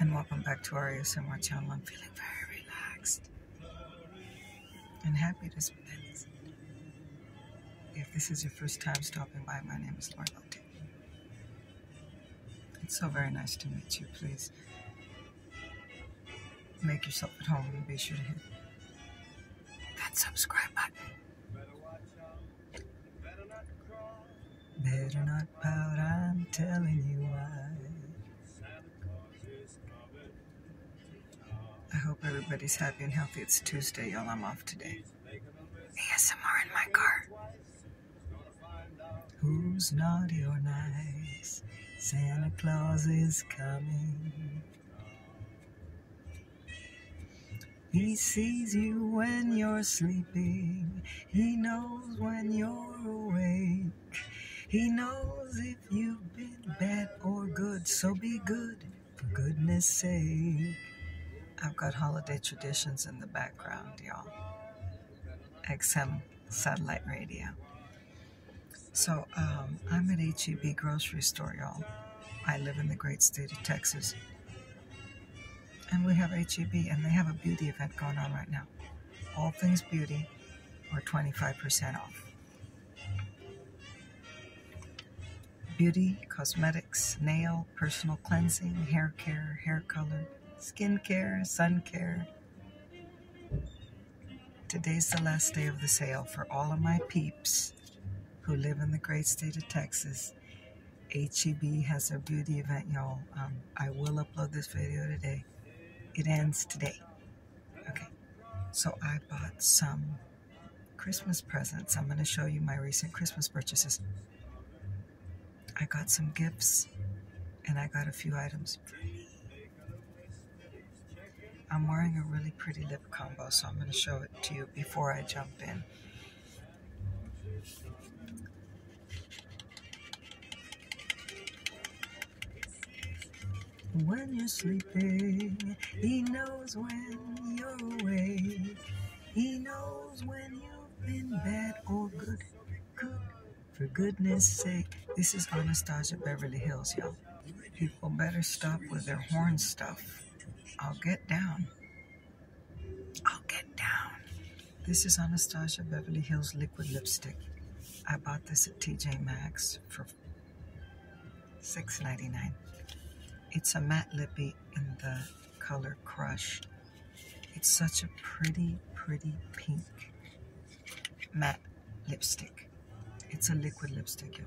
and welcome back to our ASMR channel. I'm feeling very relaxed and happy to spend this. If this is your first time stopping by, my name is Laurel. Lotte. It's so very nice to meet you. Please make yourself at home and be sure to hit that subscribe button. Better not not I'm telling you why. I hope everybody's happy and healthy. It's Tuesday, y'all. I'm off today. ASMR in my car. Who's naughty or nice? Santa Claus is coming. He sees you when you're asleep. He knows when you're awake. He knows if you've been bad or good, so be good for goodness sake. I've got holiday traditions in the background, y'all. XM satellite radio. So um, I'm at HEB grocery store, y'all. I live in the great state of Texas. And we have HEB, and they have a beauty event going on right now. All things beauty are 25% off. Beauty, cosmetics, nail, personal cleansing, hair care, hair color, skin care, sun care. Today's the last day of the sale for all of my peeps who live in the great state of Texas HEB has their beauty event, y'all. Um, I will upload this video today. It ends today. Okay. So I bought some Christmas presents. I'm going to show you my recent Christmas purchases. I got some gifts and I got a few items I'm wearing a really pretty lip combo, so I'm going to show it to you before I jump in. When you're sleeping, he knows when you're awake. He knows when you've been bad or good. For goodness sake, this is Anastasia Beverly Hills, y'all. People better stop with their horn stuff. I'll get down. Oh, get down. This is Anastasia Beverly Hills Liquid Lipstick. I bought this at TJ Maxx for $6.99. It's a matte lippy in the color Crush. It's such a pretty, pretty pink matte lipstick. It's a liquid lipstick,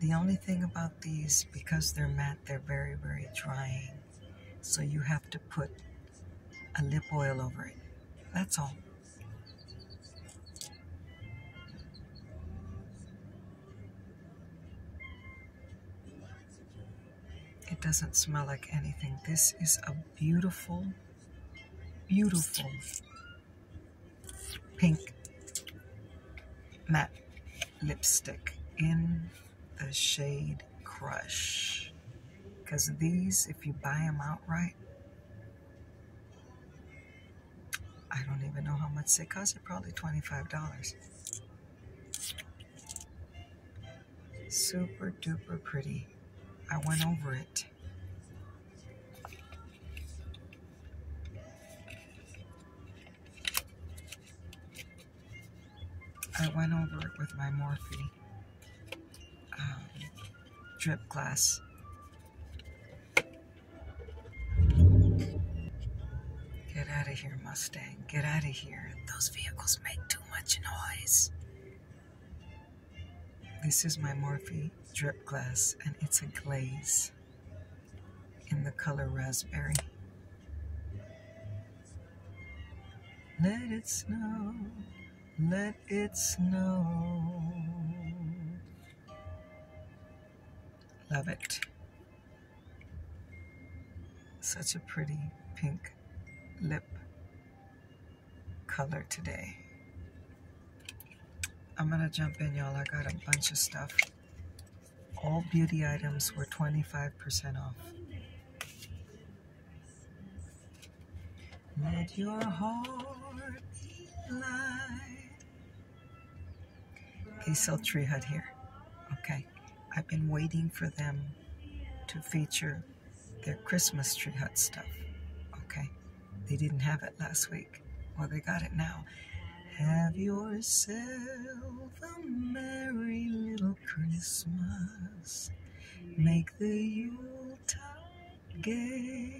The only thing about these, because they're matte, they're very, very drying. So you have to put a lip oil over it. That's all. It doesn't smell like anything. This is a beautiful, beautiful pink matte lipstick in the shade Crush. Because these, if you buy them outright, I don't even know how much they cost. They're probably $25. Super duper pretty. I went over it. I went over it with my Morphy um, drip glass. Get out of here, Mustang. Get out of here. Those vehicles make too much noise. This is my Morphy drip glass, and it's a glaze in the color raspberry. Let it snow, let it snow. Love it. Such a pretty pink lip color today. I'm gonna jump in y'all, I got a bunch of stuff. All beauty items were 25% off. Let your heart be light. Tree Hut here. Okay, I've been waiting for them to feature their Christmas Tree Hut stuff. Okay, they didn't have it last week. Well, they got it now. Have yourself a merry little Christmas. Make the Yuletide gay.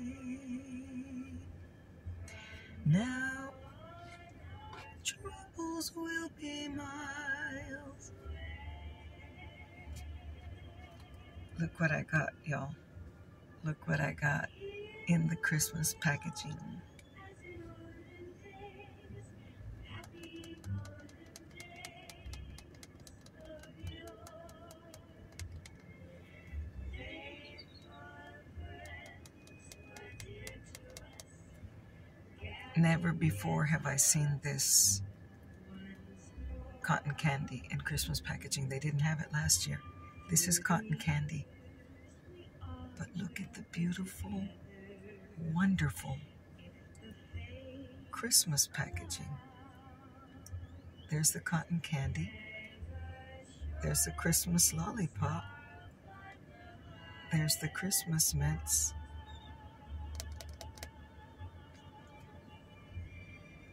Now troubles will be miles. Look what I got, y'all. Look what I got in the Christmas packaging. Never before have I seen this cotton candy in Christmas packaging. They didn't have it last year. This is cotton candy. But look at the beautiful, wonderful Christmas packaging. There's the cotton candy. There's the Christmas lollipop. There's the Christmas mints.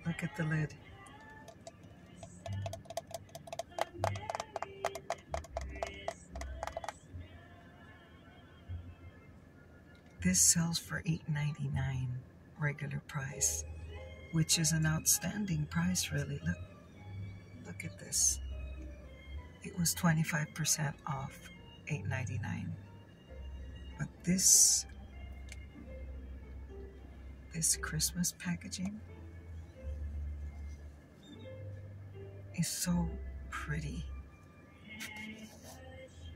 Look at the lid. This sells for eight ninety nine, regular price, which is an outstanding price really. Look, look at this. It was 25% off eight ninety nine, But this this Christmas packaging is so pretty.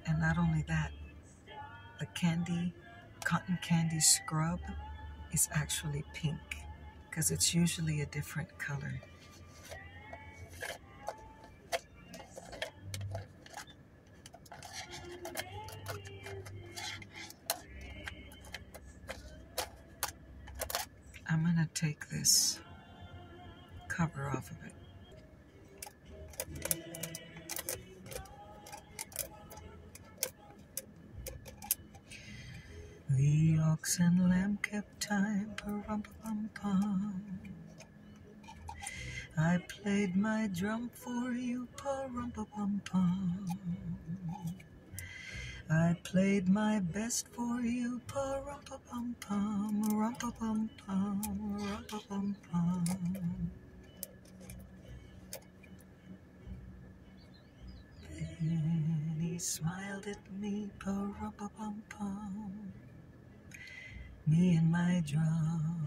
And not only that, the candy, cotton candy scrub is actually pink because it's usually a different color. I'm going to take this cover off of it. The ox and lamb kept time, pum pum pum. I played my drum for you, pum pum pum. I played my best for you, pum pa pum pum, rum pa pum pum, rum pa pum pum. Then he smiled at me, pa rum pa pum pum. Me and my drum.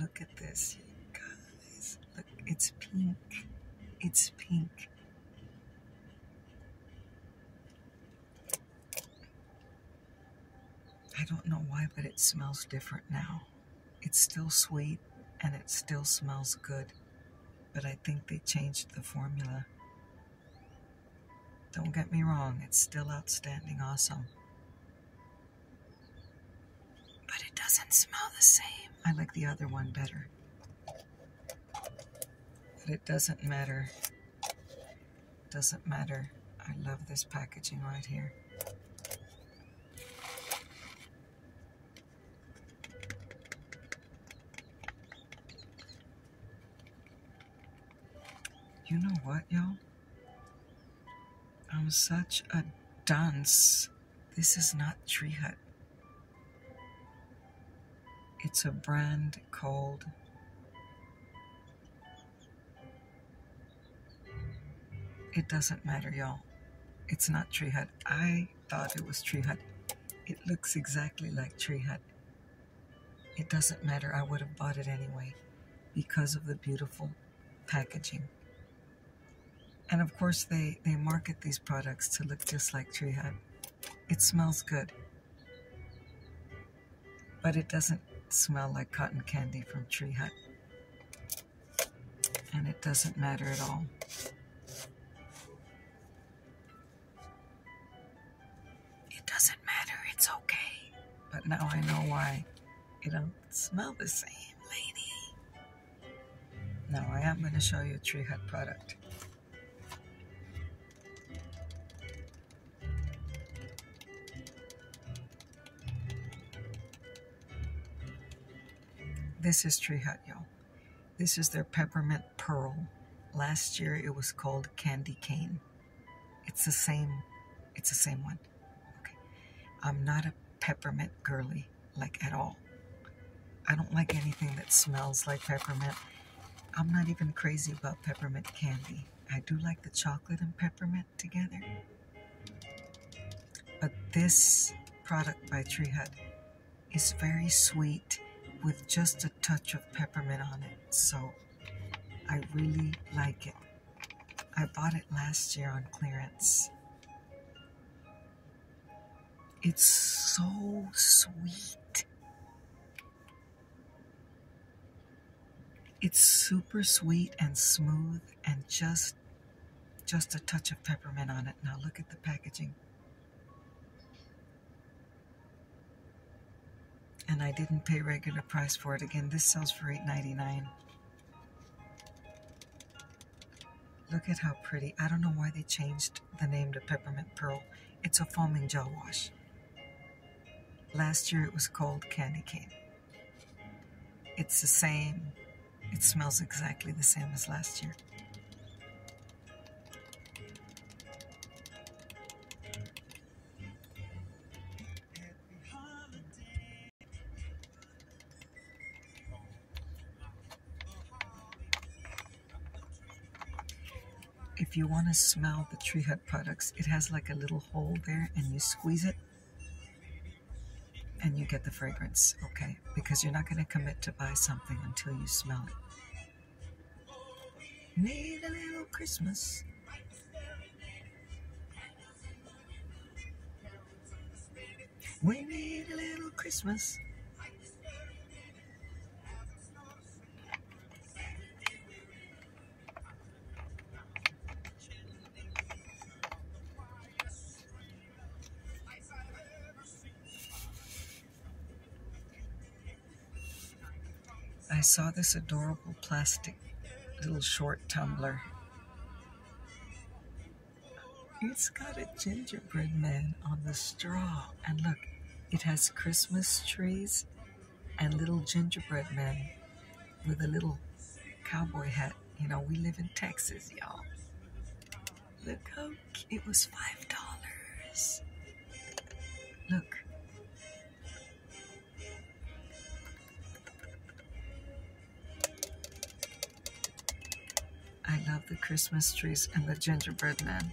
Look at this, you guys. Look, it's pink. It's pink. I don't know why, but it smells different now. It's still sweet and it still smells good, but I think they changed the formula. Don't get me wrong, it's still outstanding awesome. But it doesn't smell the same. I like the other one better. But it doesn't matter. Doesn't matter. I love this packaging right here. You know what, y'all? I'm such a dunce. This is not Tree Hut. It's a brand called it doesn't matter, y'all. It's not Tree Hut. I thought it was Tree Hut. It looks exactly like Tree Hut. It doesn't matter. I would have bought it anyway because of the beautiful packaging. And of course, they, they market these products to look just like Tree Hut. It smells good, but it doesn't smell like cotton candy from Tree Hut. And it doesn't matter at all. It doesn't matter, it's okay. But now I know why it don't smell the same, lady. Now I am going to show you a Tree Hut product. This is Tree Hut, y'all. This is their Peppermint Pearl. Last year it was called Candy Cane. It's the same, it's the same one. Okay. I'm not a peppermint girly, like at all. I don't like anything that smells like peppermint. I'm not even crazy about peppermint candy. I do like the chocolate and peppermint together. But this product by Tree Hut is very sweet with just a touch of peppermint on it. So I really like it. I bought it last year on clearance. It's so sweet. It's super sweet and smooth and just just a touch of peppermint on it. Now look at the packaging. And I didn't pay regular price for it. Again, this sells for eight ninety nine. Look at how pretty. I don't know why they changed the name to Peppermint Pearl. It's a foaming gel wash. Last year it was called candy cane. It's the same. It smells exactly the same as last year if you want to smell the Tree Hut products, it has like a little hole there and you squeeze it and you get the fragrance, okay? Because you're not going to commit to buy something until you smell it. Need a little Christmas. We need a little Christmas. I saw this adorable plastic little short tumbler. It's got a gingerbread man on the straw. And look, it has Christmas trees and Little Gingerbread Man with a little cowboy hat. You know, we live in Texas, y'all. Look how it was five dollars. Look. I love the Christmas trees and the gingerbread man.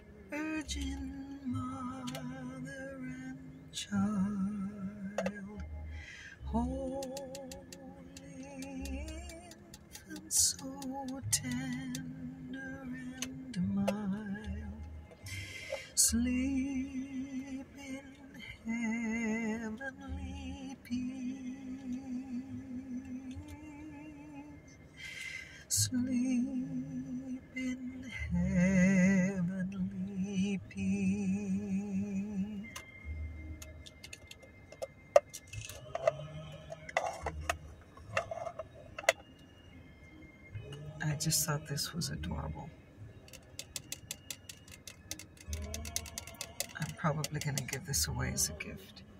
Virgin mother and child, holy infant, so tender and mild, sleep in heavenly peace. Sleep in heavenly peace. I just thought this was adorable. I'm probably going to give this away as a gift.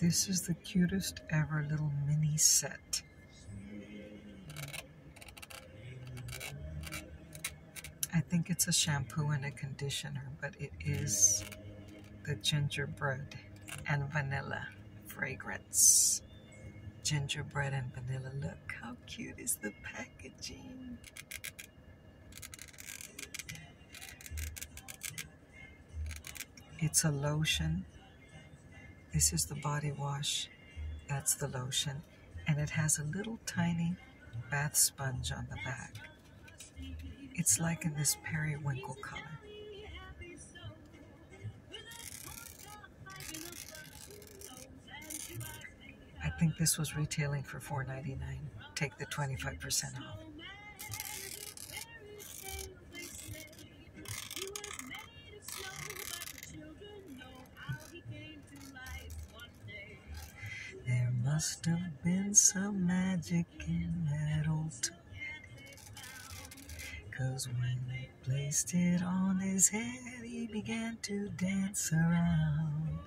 This is the cutest ever little mini set. I think it's a shampoo and a conditioner, but it is the gingerbread and vanilla fragrance. Gingerbread and vanilla. Look, how cute is the packaging? It's a lotion. This is the body wash. That's the lotion. And it has a little tiny bath sponge on the back. It's like in this periwinkle color. I think this was retailing for $4.99. Take the 25% off. There must have been some magic in that old toilet. when they placed it on his head, he began to dance around.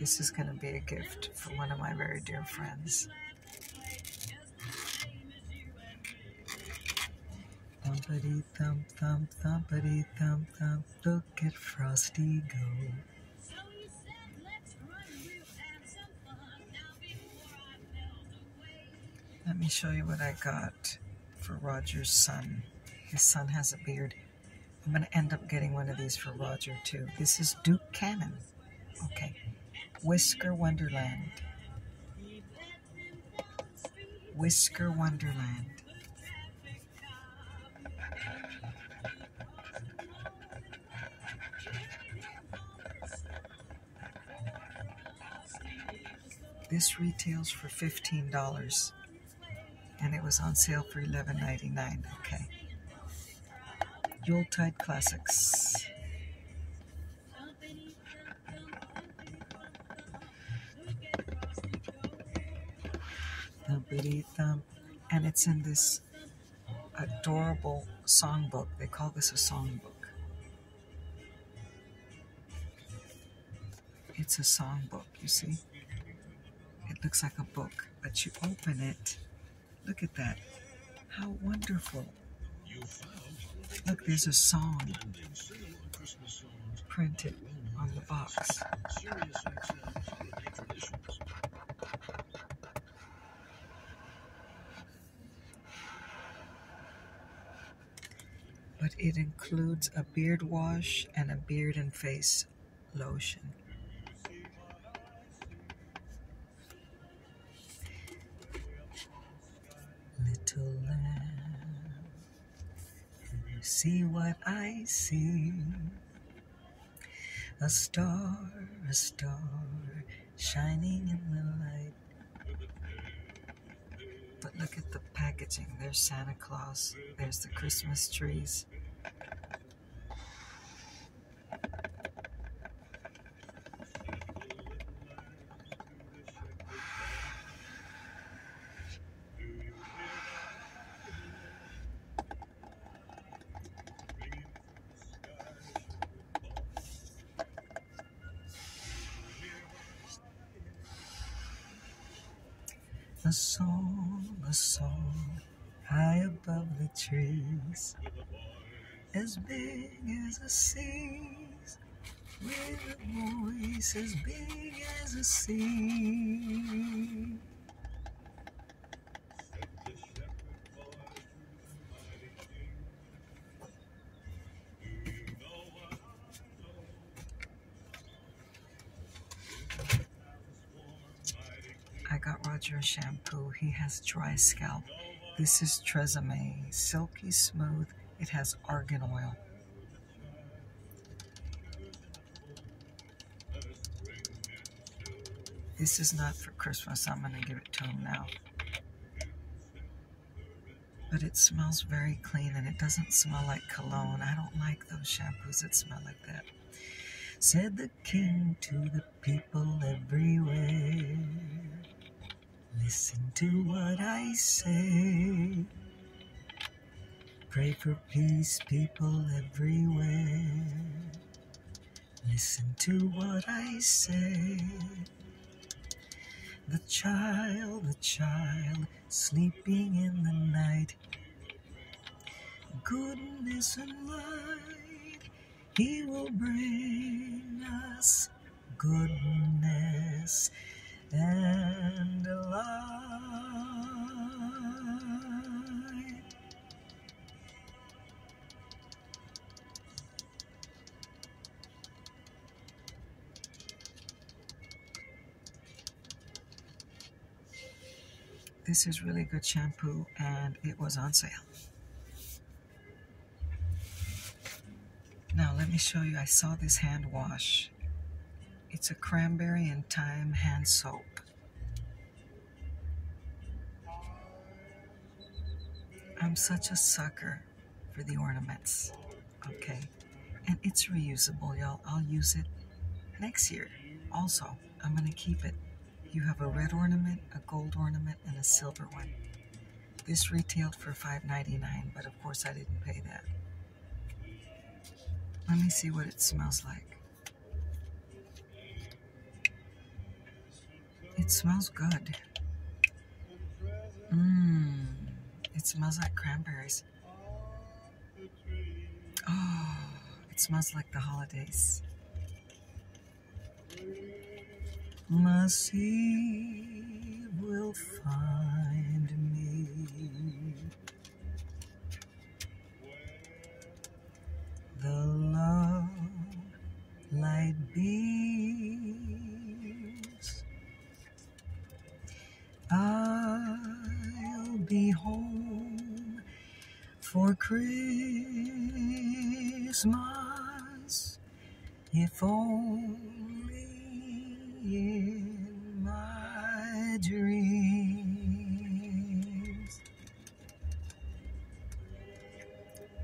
This is going to be a gift for one of my very dear friends. Thumpity thump thump thumpity thump thump. Look at Frosty go. Let me show you what I got for Roger's son. His son has a beard. I'm going to end up getting one of these for Roger, too. This is Duke Cannon. Okay. Whisker Wonderland. Whisker Wonderland. This retails for $15 and it was on sale for $11.99. Okay. Yuletide Classics. Thumpity thump. And it's in this adorable songbook. They call this a songbook. It's a songbook, you see? It looks like a book, but you open it. Look at that. How wonderful. Look, there's a song printed on the box but it includes a beard wash and a beard and face lotion. Little lamb, can you see what I see? A star, a star, shining in the night. But look at the packaging. There's Santa Claus. There's the Christmas trees. A song, a song, high above the trees, as big as a seas, with a voice as big as a sea. I got Roger a shampoo. He has dry scalp. This is Tresemme. Silky smooth. It has argan oil. This is not for Christmas. I'm going to give it to him now but it smells very clean and it doesn't smell like cologne. I don't like those shampoos that smell like that. Said the king to the people everywhere. Listen to what I say. Pray for peace, people everywhere. Listen to what I say. The child, the child, sleeping in the night. Goodness and light, He will bring us goodness and light. This is really good shampoo and it was on sale. Now let me show you, I saw this hand wash. It's a cranberry and thyme hand soap. I'm such a sucker for the ornaments. Okay. And it's reusable, y'all. I'll use it next year. Also, I'm going to keep it. You have a red ornament, a gold ornament, and a silver one. This retailed for $5.99, but of course I didn't pay that. Let me see what it smells like. It smells good. Mmm. It smells like cranberries. Oh, it smells like the holidays. Mercy will find me. The love light beams I'll be home for Christmas if only in my dreams.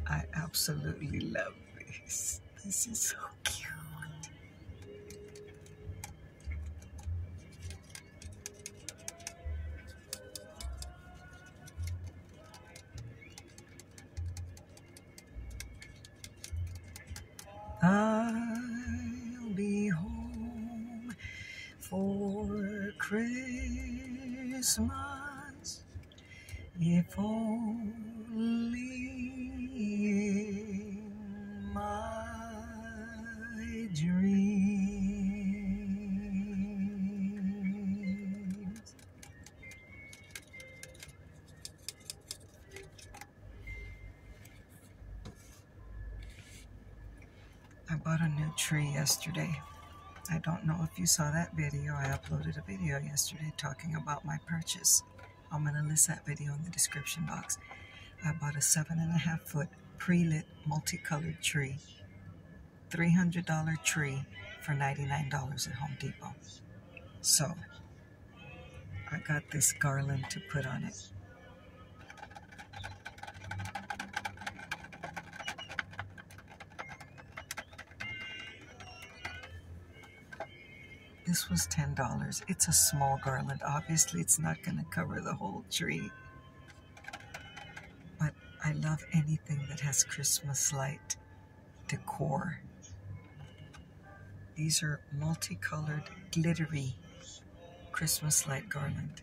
I absolutely love this. This is so cute. I'll be home for Christmas. If only my dreams I bought a new tree yesterday. I don't know if you saw that video. I uploaded a video yesterday talking about my purchase. I'm going to list that video in the description box. I bought a seven and a half foot pre-lit multicolored tree, $300 tree for $99 at Home Depot. So, I got this garland to put on it. This was $10. It's a small garland. Obviously, it's not going to cover the whole tree. But I love anything that has Christmas light decor. These are multicolored, glittery Christmas light garland.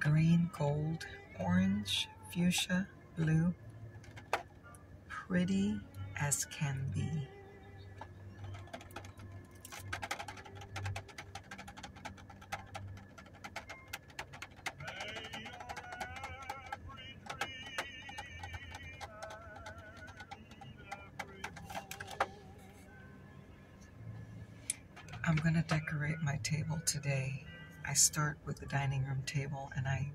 green, gold, orange, fuchsia, blue, pretty as can be. I'm going to decorate my table today. I start with the dining room table and I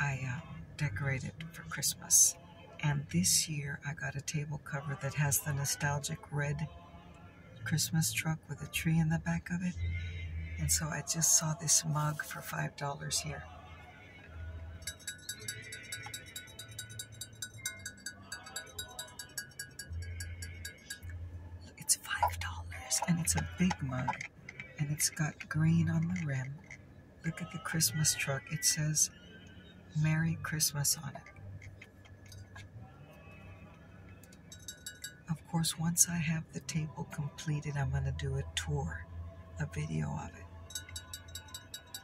I uh, decorate it for Christmas. And this year I got a table cover that has the nostalgic red Christmas truck with a tree in the back of it. And so I just saw this mug for $5 here. It's five dollars and it's a big mug and it's got green on the rim. Look at the Christmas truck. It says Merry Christmas on it. Of course, once I have the table completed, I'm going to do a tour, a video of it.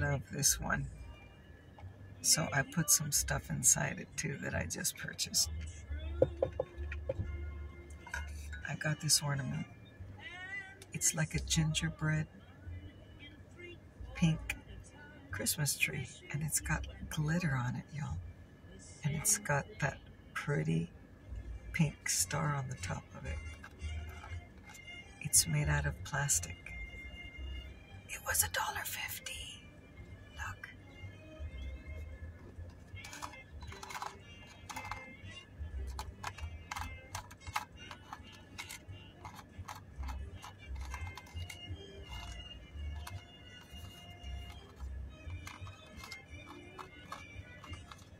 Love this one. So I put some stuff inside it too that I just purchased. I got this ornament. It's like a gingerbread pink Christmas tree and it's got glitter on it, y'all. And it's got that pretty pink star on the top of it. It's made out of plastic. It was a dollar fifty. Look.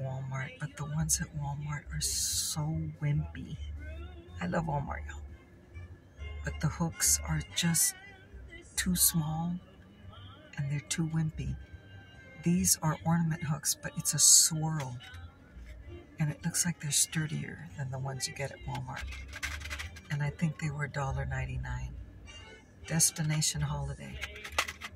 Walmart, but the ones at Walmart are so wimpy. I love Walmart, y'all. But the hooks are just too small and they're too wimpy. These are ornament hooks, but it's a swirl. And it looks like they're sturdier than the ones you get at Walmart. And I think they were $1.99. Destination Holiday.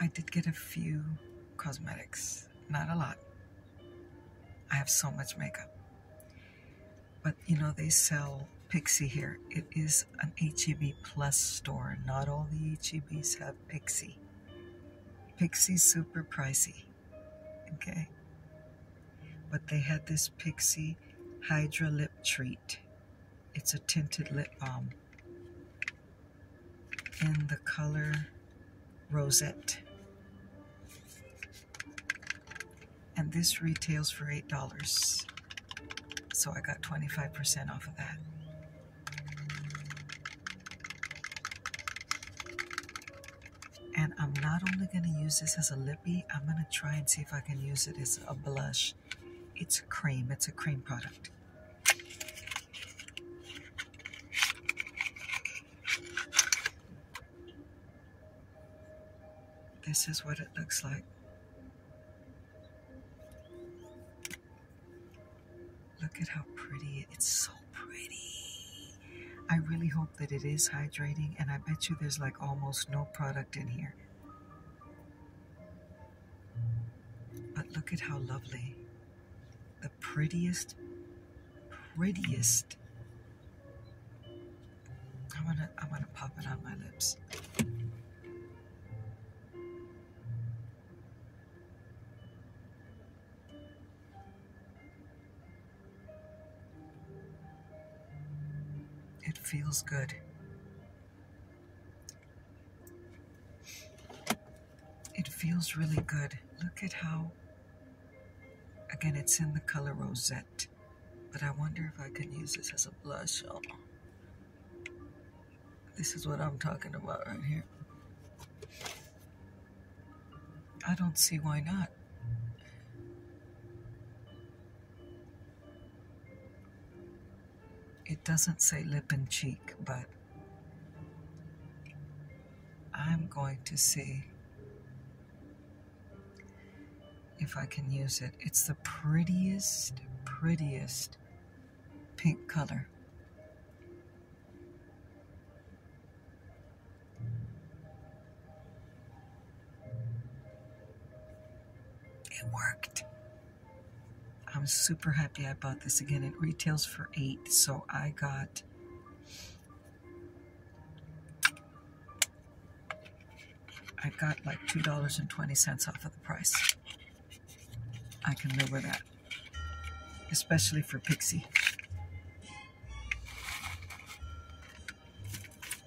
I did get a few cosmetics, not a lot. I have so much makeup. But you know, they sell Pixie here. It is an HEB Plus store. Not all the HEBs have Pixie. Pixie's super pricey. Okay. But they had this Pixie Hydra Lip Treat. It's a tinted lip balm in the color Rosette. And this retails for $8. So I got 25% off of that. And I'm not only going to use this as a lippy, I'm going to try and see if I can use it as a blush. It's a cream. It's a cream product. This is what it looks like. Look at how pretty, it's so pretty. I really hope that it is hydrating and I bet you there's like almost no product in here. But look at how lovely. The prettiest, prettiest. I want to I wanna pop it on my lips. It feels good. It feels really good. Look at how, again, it's in the color rosette, but I wonder if I can use this as a blush. Oh. This is what I'm talking about right here. I don't see why not. It doesn't say lip and cheek, but I'm going to see if I can use it. It's the prettiest, prettiest pink color. It worked. I'm super happy I bought this again. It retails for 8 so I got I got like $2.20 off of the price. I can live with that. Especially for Pixie.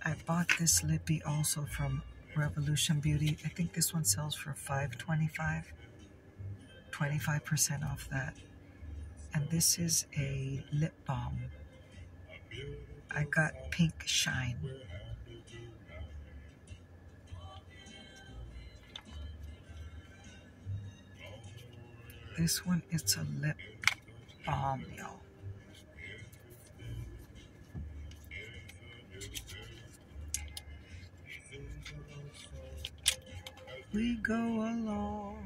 I bought this lippy also from Revolution Beauty. I think this one sells for five twenty-five. 25% off that. And this is a lip balm. I got Pink Shine. This one, it's a lip balm, y'all. We go along,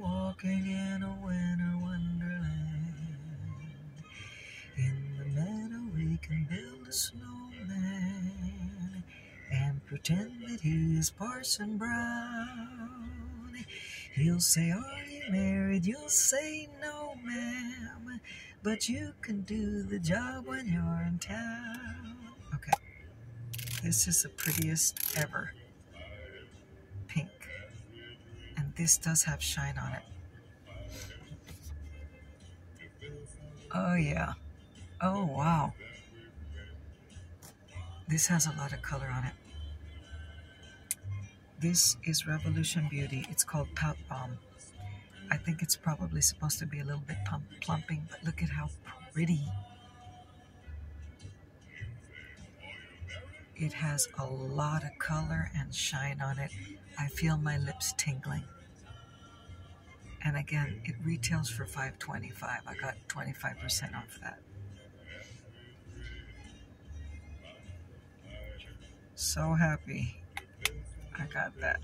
walking in a winter wonderland. In the meadow, we can build a snowman and pretend that he is Parson Brown. He'll say, Are you married? You'll say, No, ma'am but you can do the job when you're in town. Okay, this is the prettiest ever pink, and this does have shine on it. Oh yeah, oh wow. This has a lot of color on it. This is Revolution Beauty. It's called Pout Bomb. I think it's probably supposed to be a little bit plumping, but look at how pretty. It has a lot of color and shine on it. I feel my lips tingling. And again, it retails for $5.25. I got 25% off that. So happy. I got that.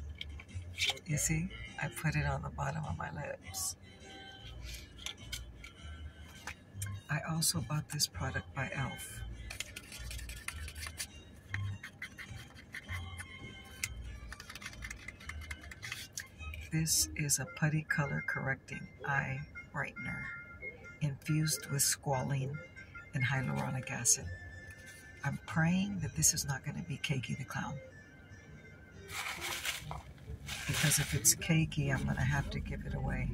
You see, I put it on the bottom of my lips. I also bought this product by e.l.f. This is a putty color correcting eye brightener infused with squalene and hyaluronic acid. I'm praying that this is not going to be Cakey the Clown. Because if it's cakey, I'm going to have to give it away.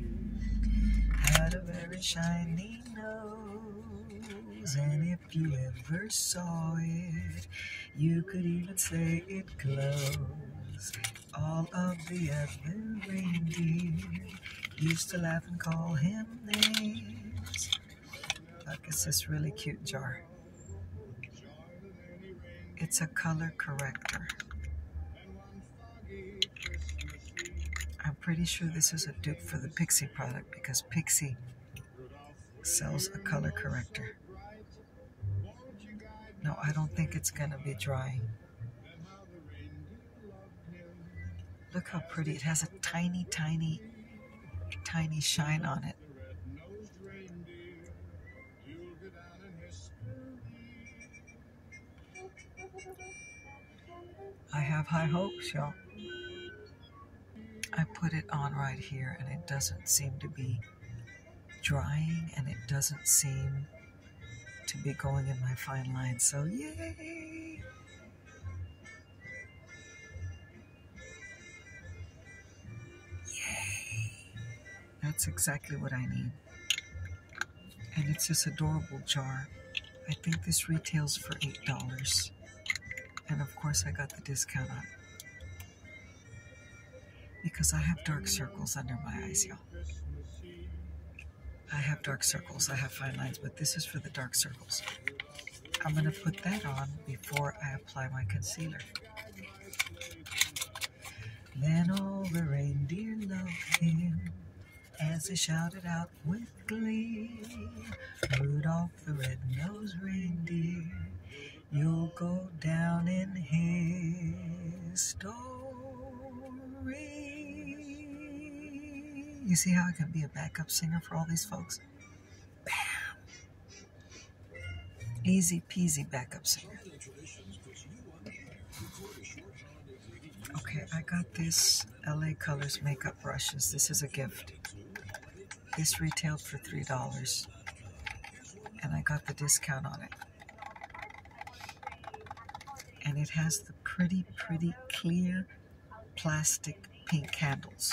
Had a very shiny nose, and if you ever saw it, you could even say it glows. All of the other reindeer used to laugh and call him names. Look, it's this really cute jar. It's a color corrector. I'm pretty sure this is a dupe for the Pixie product because Pixie sells a color corrector. No, I don't think it's going to be drying. Look how pretty. It has a tiny, tiny, tiny shine on it that. I have high hopes, y'all. I put it on right here and it doesn't seem to be drying and it doesn't seem to be going in my fine line. So, yay! Yay! That's exactly what I need. And it's this adorable jar. I think this retails for $8. And of course, I got the discount on because I have dark circles under my eyes, y'all. I have dark circles, I have fine lines, but this is for the dark circles. I'm going to put that on before I apply my concealer. Then all the reindeer loved him as they shouted out with glee. Rudolph the red-nosed reindeer, you'll go down in history. You see how I can be a backup singer for all these folks? Bam! Easy peasy backups. Okay, I got this LA Colors makeup brushes. This is a gift. This retailed for $3 and I got the discount on it. And it has the pretty, pretty clear plastic pink handles.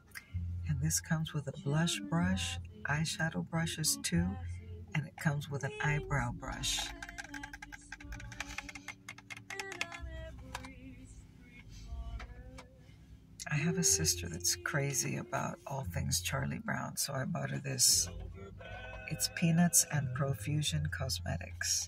And this comes with a blush brush, eyeshadow brushes too, and it comes with an eyebrow brush. I have a sister that's crazy about all things Charlie Brown, so I bought her this. It's Peanuts and Profusion Cosmetics.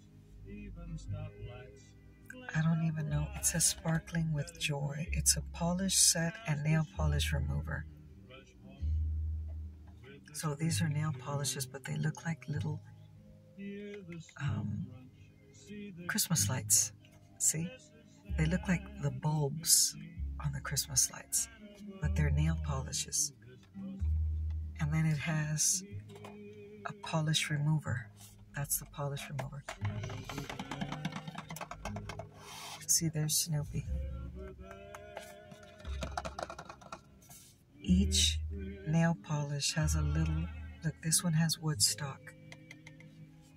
I don't even know. It says sparkling with joy. It's a polish set and nail polish remover. So these are nail polishes, but they look like little um, Christmas lights. See? They look like the bulbs on the Christmas lights, but they're nail polishes. And then it has a polish remover. That's the polish remover. See, there's Snoopy. Each nail polish has a little, look, this one has Woodstock.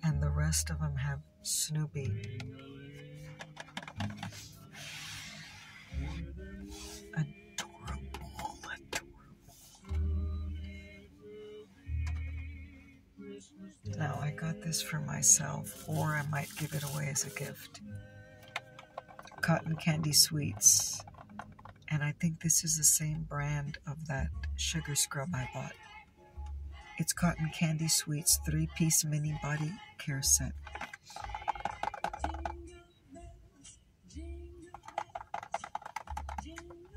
And the rest of them have Snoopy. adorable. Now, I got this for myself, or I might give it away as a gift. Cotton Candy Sweets. And I think this is the same brand of that sugar scrub I bought. It's Cotton Candy Sweets three piece mini body care set.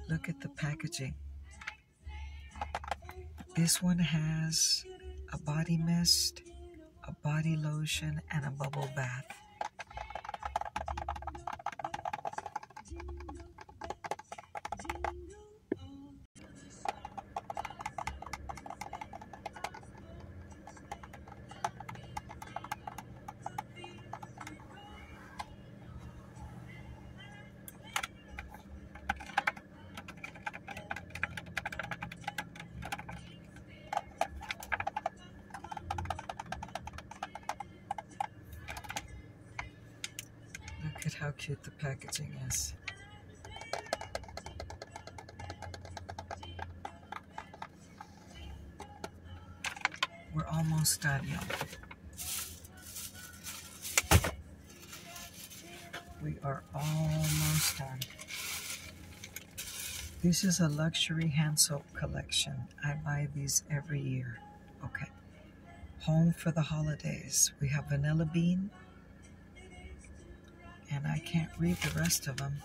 Look at the packaging. This one has a body mist, a body lotion, and a bubble bath. Look at how cute the packaging is. We're almost done, y'all. We are almost done. This is a luxury hand soap collection. I buy these every year. Okay. Home for the holidays. We have vanilla bean. And I can't read the rest of them.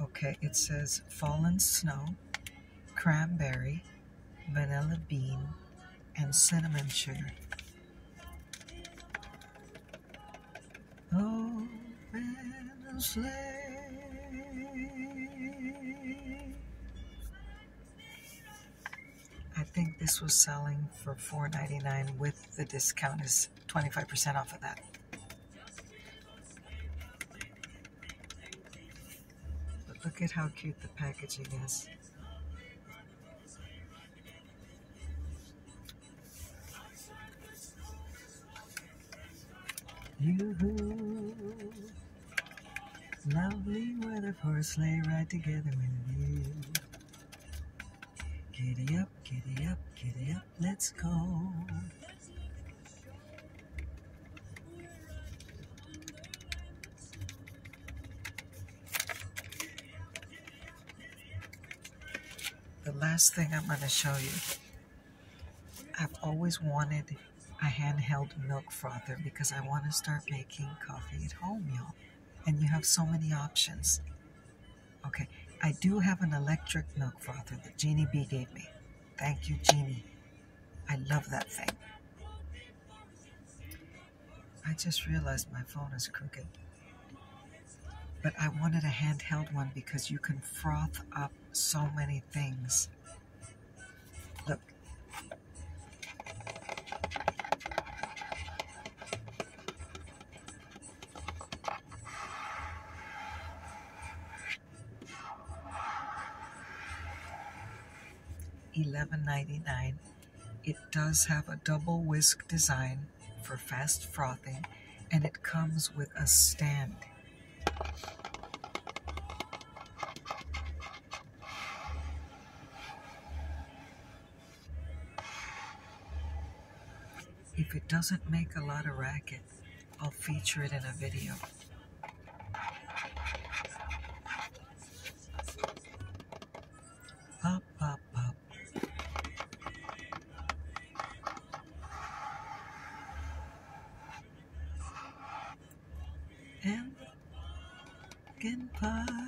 Okay, it says fallen snow, cranberry, vanilla bean, and cinnamon sugar. Open the sleigh. I think this was selling for $4.99 with the discount is 25% off of that. But look at how cute the packaging is. yoo Lovely weather for a sleigh ride together with you. Giddy up, giddy up, giddy up. Let's go. The last thing I'm going to show you. I've always wanted a handheld milk frother because I want to start making coffee at home, y'all. And you have so many options. Okay, I do have an electric milk frother that Jeannie B gave me. Thank you, Genie. I love that thing. I just realized my phone is crooked. But I wanted a handheld one because you can froth up so many things. Look. $11.99. It does have a double whisk design for fast frothing and it comes with a stand. If it doesn't make a lot of racket, I'll feature it in a video. Pop, pop, pop. And pumpkin pie.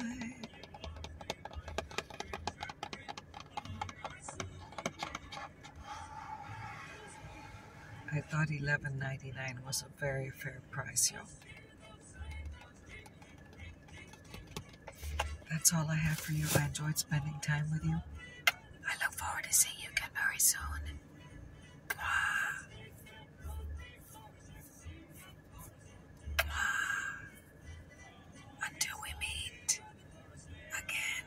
I thought $11.99 was a very fair price, y'all. That's all I have for you. I enjoyed spending time with you. I look forward to seeing you again very soon. Until we meet again.